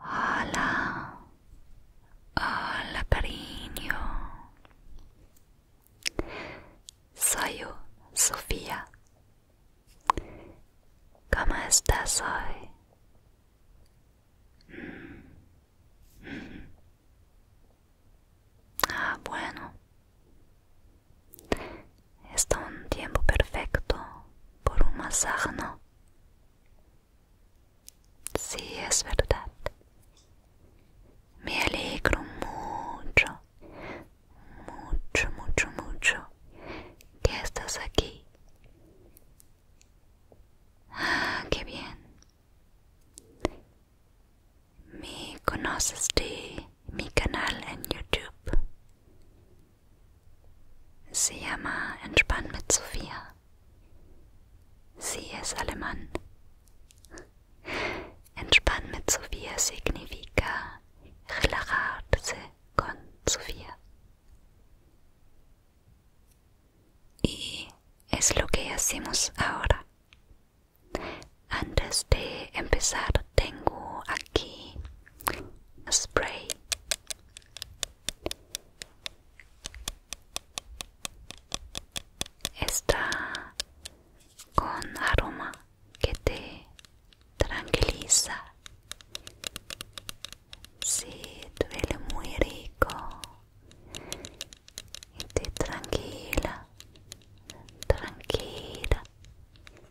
Hola, hola cariño. Soy Sofía. ¿Cómo estás hoy? Mm. Mm. Ah, bueno. Está un tiempo perfecto por un masaje, ¿no? Sí, es verdad. Me alegro mucho, mucho, mucho, mucho que estás aquí. Ah, qué bien. ¿Me conoces de mi canal en YouTube? Se llama Entspann mit Sofía. Si es alemán. Entspann mit Sofía significa relajarse con Sofía. Y es lo que hacemos ahora. Antes de empezar tengo aquí spray. Está con aroma que te tranquiliza. Sí, duele muy rico. Y te tranquila, tranquila.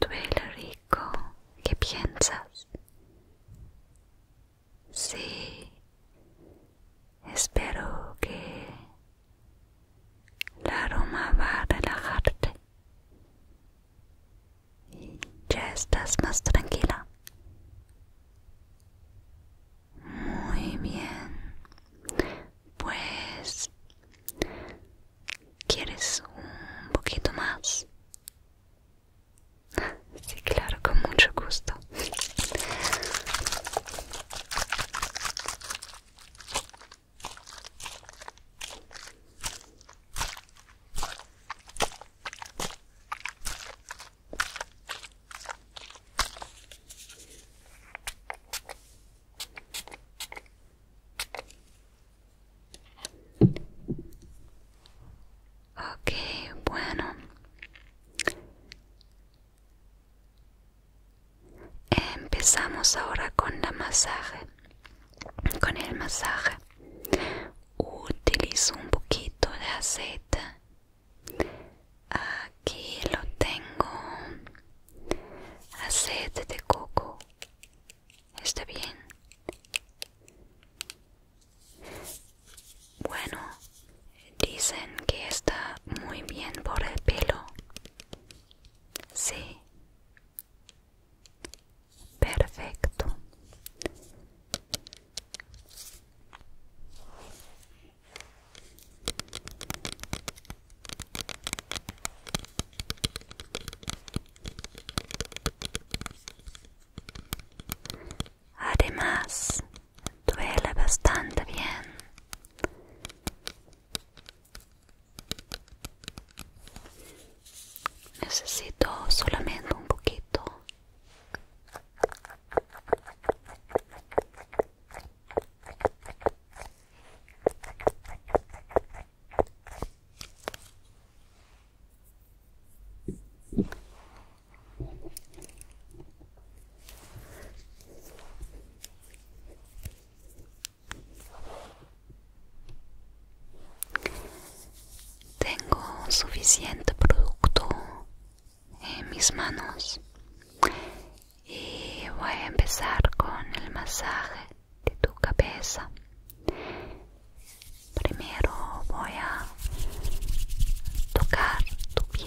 Duele rico. ¿Qué piensas? Sí. Espero que la aroma va a relajarte. Y ya estás más tranquila. Muy bien. Pues ¿Quieres un poquito más? Sí, claro, con mucho gusto. Okay, bueno. Empezamos ahora con la masaje, con el masaje. Utilizo un poquito de aceite. Aquí lo tengo aceite de coco está bien bueno dicen que está muy bien por el pelo sí perfecto Además, duela bastante bien. Necesito solamente un poquito. Tengo suficiente producto en mis manos y voy a empezar con el masaje de tu cabeza primero voy a tocar tu piel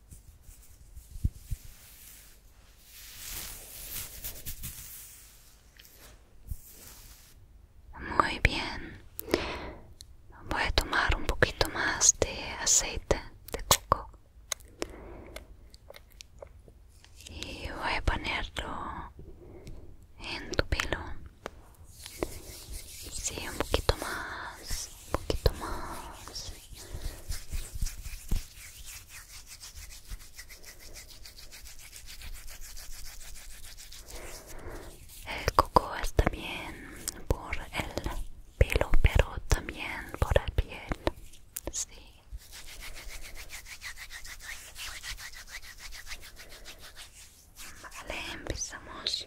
Muy bien. Voy a tomar un poquito más de aceite de coco y voy a ponerlo en tu pelo. Sí, un poquito más un poquito más el coco es también por el pelo pero también por la piel sí vale empezamos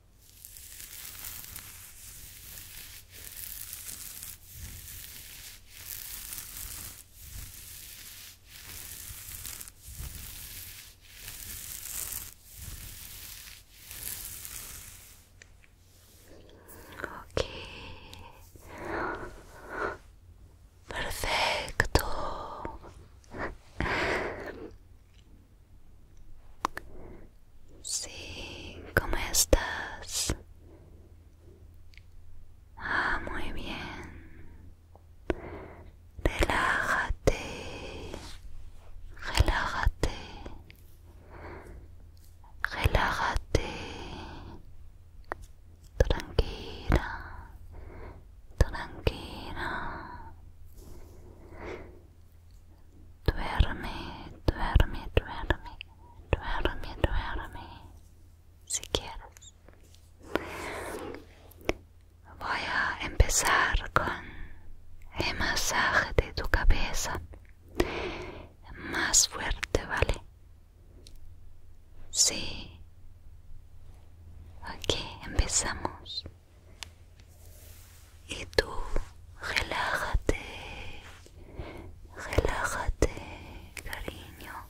Okay, Perfecto. Sí, ¿cómo estás? Ah, muy bien. Relájate. Relájate. Relájate. Tranquila. Tranquila. Duerme, duerme, duerme, duerme, duerme, si quieres. Voy a empezar con el masaje de tu cabeza más fuerte, ¿vale? Sí. Ok, empezamos y tú relájate, relájate, cariño.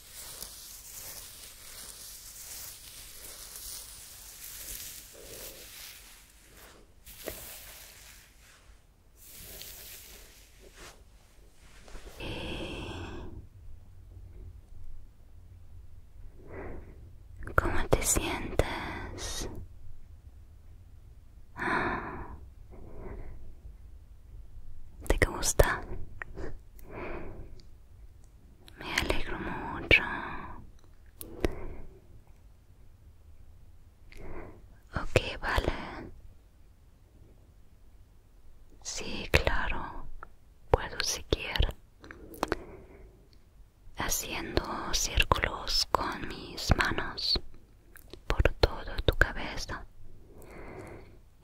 ¿Cómo te sientes? ¿Te gusta? Me alegro mucho. Ok, vale. Sí, claro. Puedo seguir haciendo círculos con mis manos por toda tu cabeza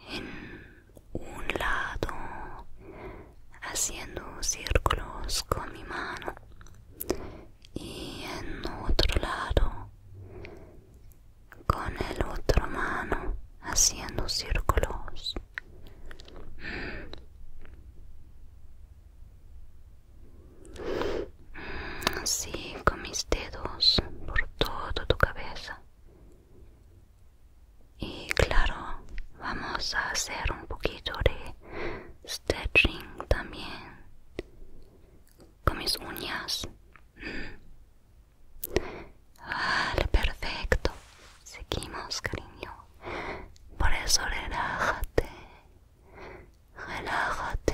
en un lado haciendo círculos con mi mano y en otro lado con el otro mano haciendo círculos así con mis dedos por toda tu cabeza y claro vamos a hacer un poquito de stretching también con mis uñas vale perfecto seguimos cariño por eso relájate relájate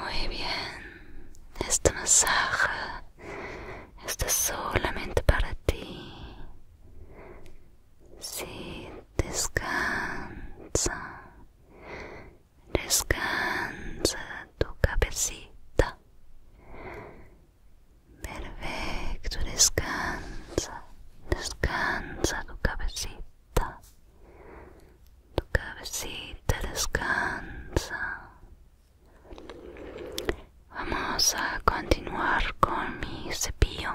Muy bien, este masaje está solamente para ti. Si, descansa, descansa tu cabecita. Perfecto, descansa descansa tu cabecita, tu cabecita descansa. Vamos a continuar con mi cepillo.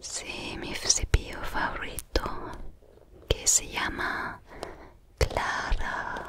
Sí, mi cepillo favorito que se llama Clara.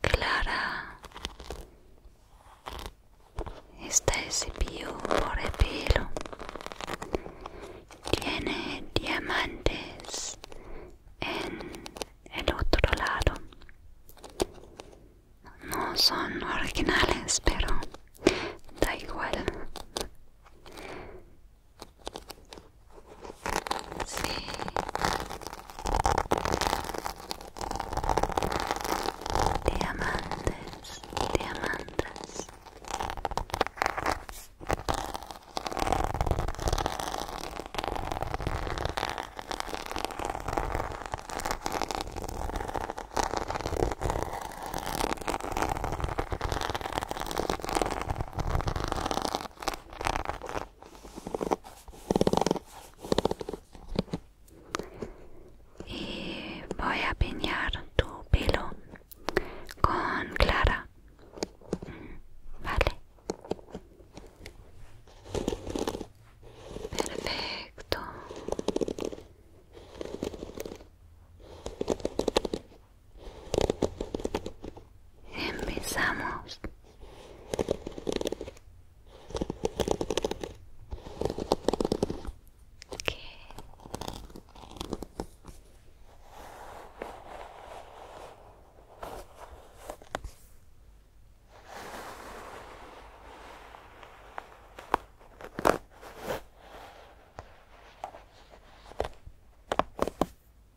Clara, está es por el pelo. Tiene diamantes en el otro lado. No son originales, pero da igual. Sí. Diamantes, diamantes y voy a piñar tu pelo con clara vale perfecto Empezamos. Okay.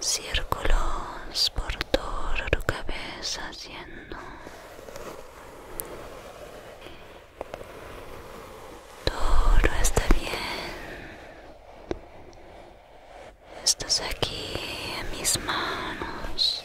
Círculos por todo tu cabeza haciendo todo está bien. Estás aquí en mis manos.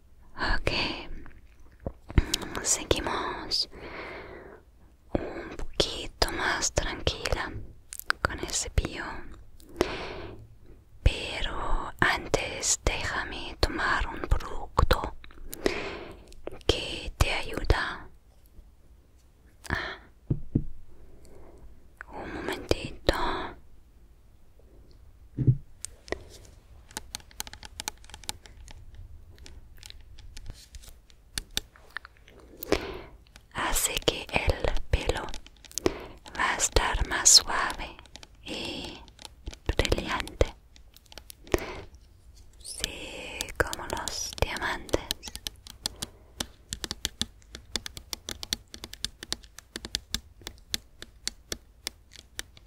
Ok, seguimos un poquito más tranquila con ese pío, Pero antes déjame tomar un producto que te ayuda. Un momentito así que el pelo va a estar más suave y brillante. Sí, como los diamantes.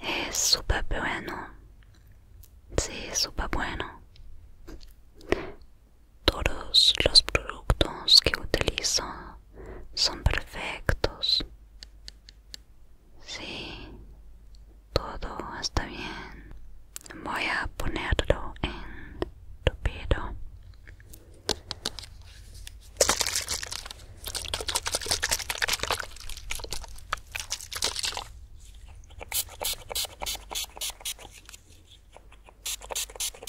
Es súper bueno. Sí, súper bueno. Todos los productos que utilizo son perfectos. Sí, todo está bien. Voy a ponerlo en tu pelo.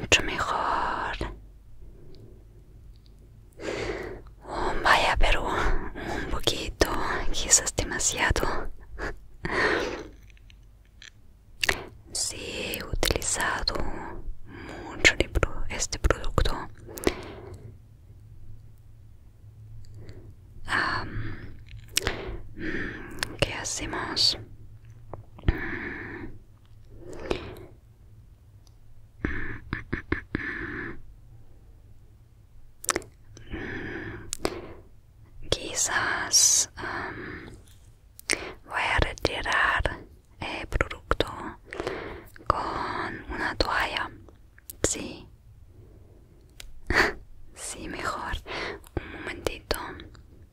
Mucho mejor. Oh, vaya, pero un poquito, quizás demasiado. Sí, he utilizado mucho de este producto. ¿Qué hacemos? Mm, quizás um, voy a retirar el eh, producto con una toalla. Sí. Sí, mejor. Un momentito.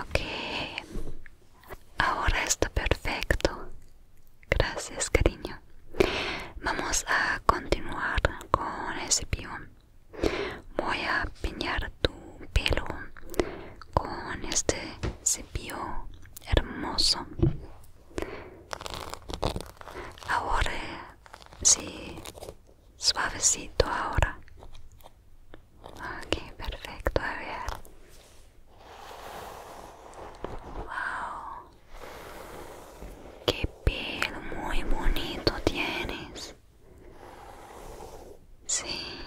Ok, ahora está perfecto. Gracias, cariño. Vamos a continuar con el cepillo. Voy a peinar tu pelo con este cepillo hermoso. Ahora, sí suavecito ahora. Ok, perfecto, a ver. Wow, qué piel muy bonito tienes. Sí.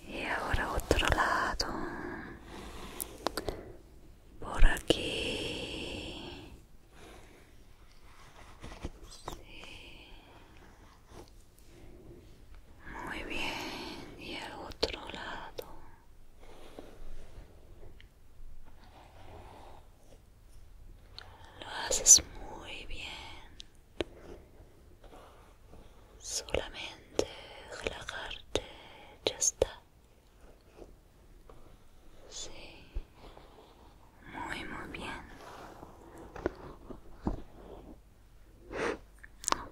Y ahora otro lado. Por aquí. Muy bien, y al otro lado. Lo haces muy bien. Solamente relajarte, ya está. Sí, muy, muy bien.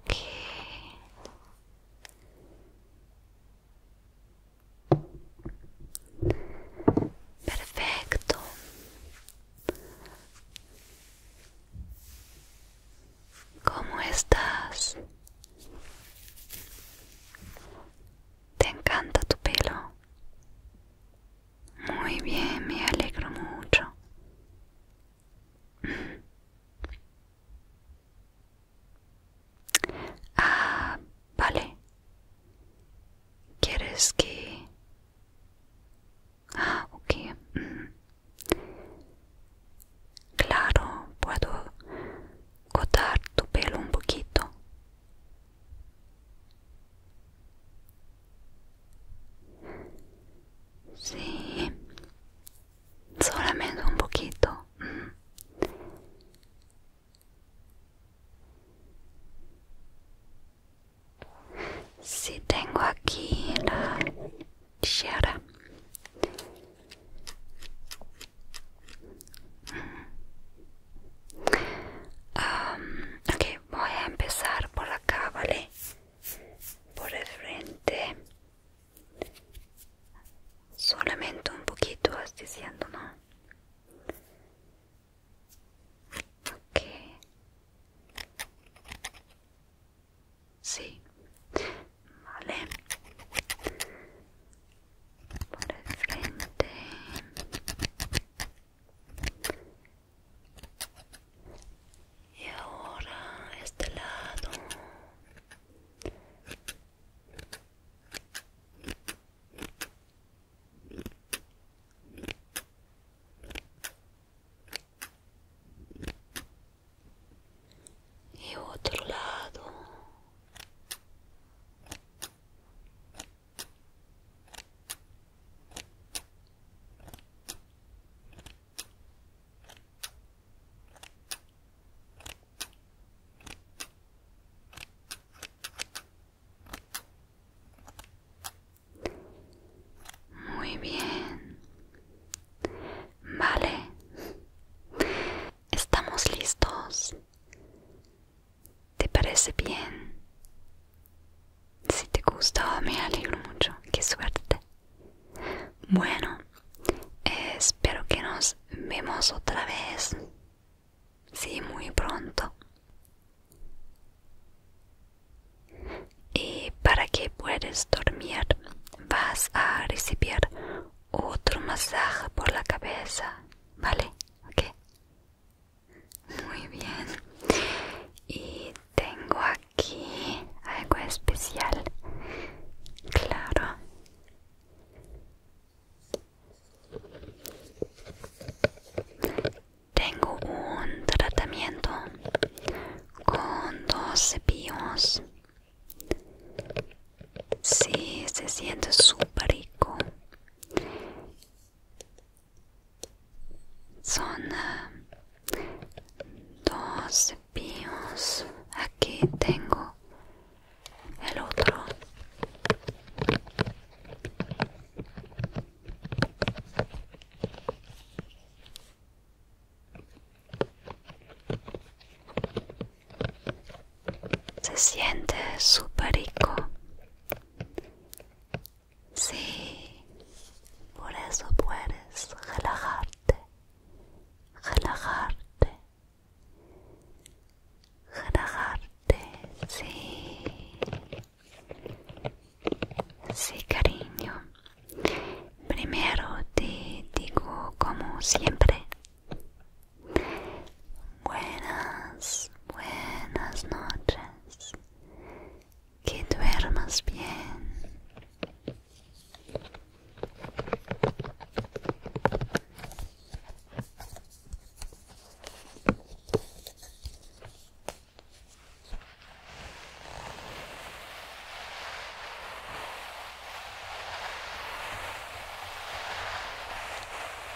Ok. Perfecto. ¿Cómo estás? ¿Te encanta tu pelo? Muy bien, me alegro mucho. Mm. Ah, vale. ¿Quieres que... Ah, ok. Mm. Claro, puedo cortar tu pelo un poquito. Sí, solamente un poquito. sí, tengo aquí la tijera. Um, voy a empezar por acá, ¿vale? Por el frente. Solamente un poquito, vas diciendo, ¿no? Sí. Vale por el frente y ahora este lado y otro lado muy bien. Vale. Estamos listos. ¿Te parece bien? Si te gustó, me alegro mucho. ¡Qué suerte! Bueno, espero que nos vemos otra vez. Sí, muy pronto. Y para que puedas dormir, vas a recibir otro masaje por la cabeza. ¿Vale? Ok. Muy bien. Y tengo aquí algo especial. Claro. Tengo un tratamiento con dos cepillos. Sí, se siente súper rico. Son eh, dos pions. Aquí tengo el otro. Se siente súper rico. Sí, por eso puedes relajarte, relajarte, relajarte, sí. Sí, cariño. Primero te digo como siempre Buenas, buenas noches. Que duermas bien.